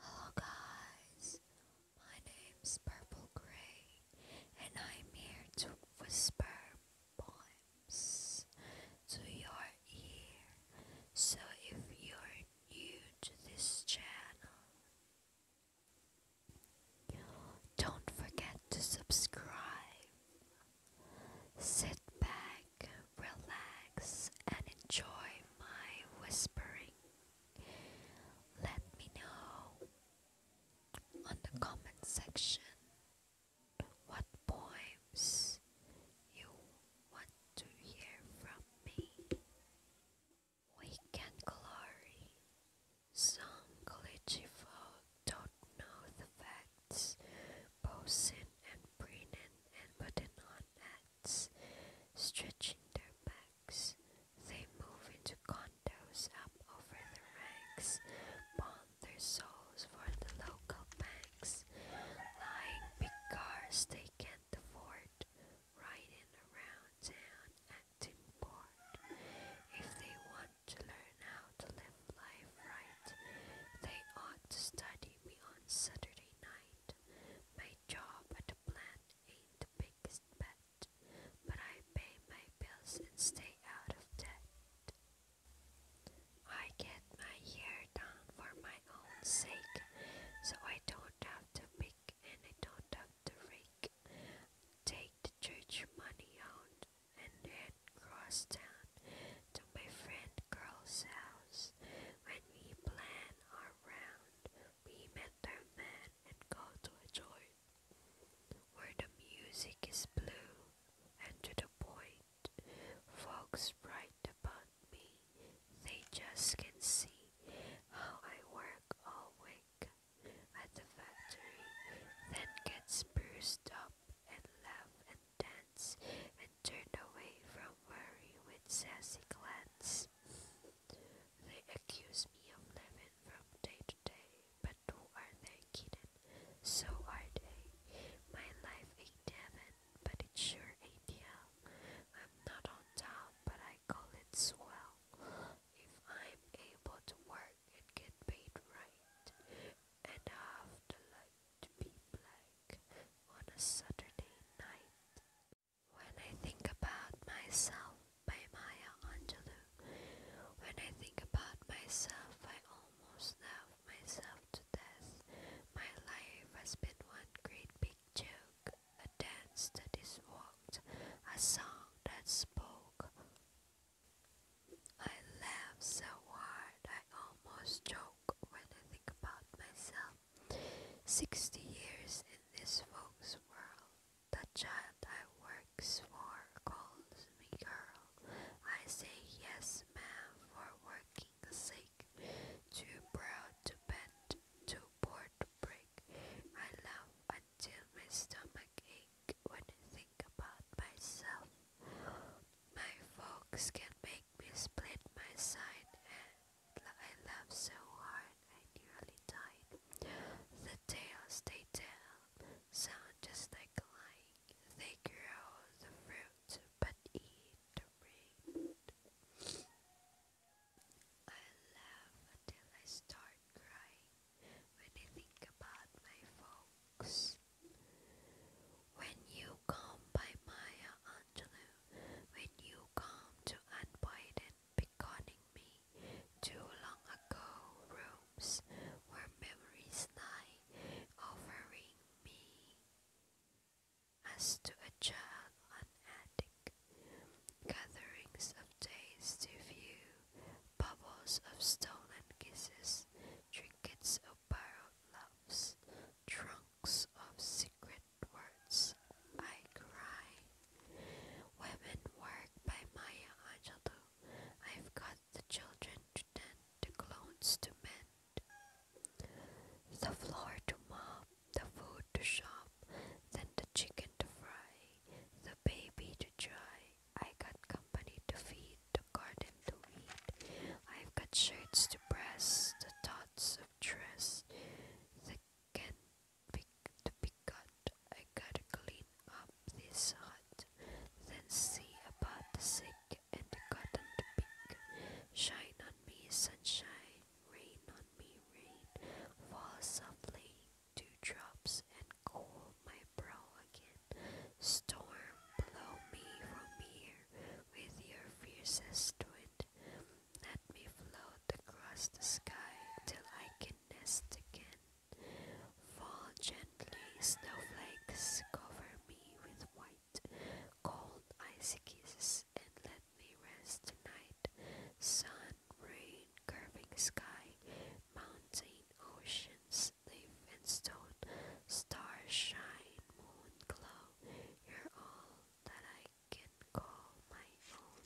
Hello oh, guys, my name's Purple Grey and I'm here to whisper poems to your ear. So if you're new to this channel, don't forget to subscribe. Sit back relax, and enjoy my whispering. Let me know on the comment section what poems you want to hear from me. Weekend Glory. Some glitchy folk don't know the facts Bosun and Brennan and putting on hats, stretching their backs. They move into condos up over the ranks, pawn their souls for the local banks. Lying big cars they can't afford, riding around town acting bored. If they want to learn how to live life right. They ought to study me on Saturday night. My job at the plant ain't the biggest bet, but I pay my bills and stay out of debt. I get my hair done for my own sake, so I don't have to pick and I don't have to rake. Take the church money out and head cross town to my friend girl's house. When we plan our round, we met our man and go to a joint where the music is blue and to the point. Folks write about me, they just can see how I work all week at the factory, then gets bruised up and laugh and dance and turn away from worry with sassy glances. They accuse me of living from day to day, but who are they kidding? So are they. My life ain't heaven, but it sure ain't hell. I'm not on top, but I call it swell. If I'm able to work and get paid right, and I have the light to be black on a Saturday night. When I think about myself by Maya Angelou, when I think about myself, I almost love myself to death. My life has been one great big joke, a dance that is war walked, I sung that spoke. I laughed so hard I almost choke when I think about myself. Sixty years in this folks' world, the child I works for calls me girl. I say yes, ma'am, for working sake. Too proud to bend, too poor heartbreak. I laugh until my stomach ache when I think about myself. My folks can make me split my side, and I laugh so hard I nearly died. The tales they tell sound just like lying. They grow the fruit but eat the rain. I laugh until I start crying when I think about my folks. When you come by Maya Angelou, when you come to Unbiden beckoning me, too long ago rooms where memories lie, offering me as to a child unending, gatherings of days to view, bubbles of stolen kisses, trinkets of borrowed loves, trunks of secret words. I cry. Women work by Maya Angelou. I've got the children to tend, the clones to men. The floor to mop, the food to shop, then the chicken to fry, the baby to dry. I got company to feed, the garden to weed. I've got shirts to press, the thoughts of dress that can be to be cut. I gotta clean up this hut, then see about the sick and cotton to pick. Shine on me, sunshine, rain on me, rain. Fall softly, dewdrops, and cool my brow again. Storm, blow me from here with your fiercest wind. Let me float across the sky till I can nest again. Fall gently, snowflakes cover me with white cold icy kisses, and let me rest tonight. Sun, rain, curving sky, mountains, oceans, leaf and stone, stars shine, moon glow. You're all that I can call my own.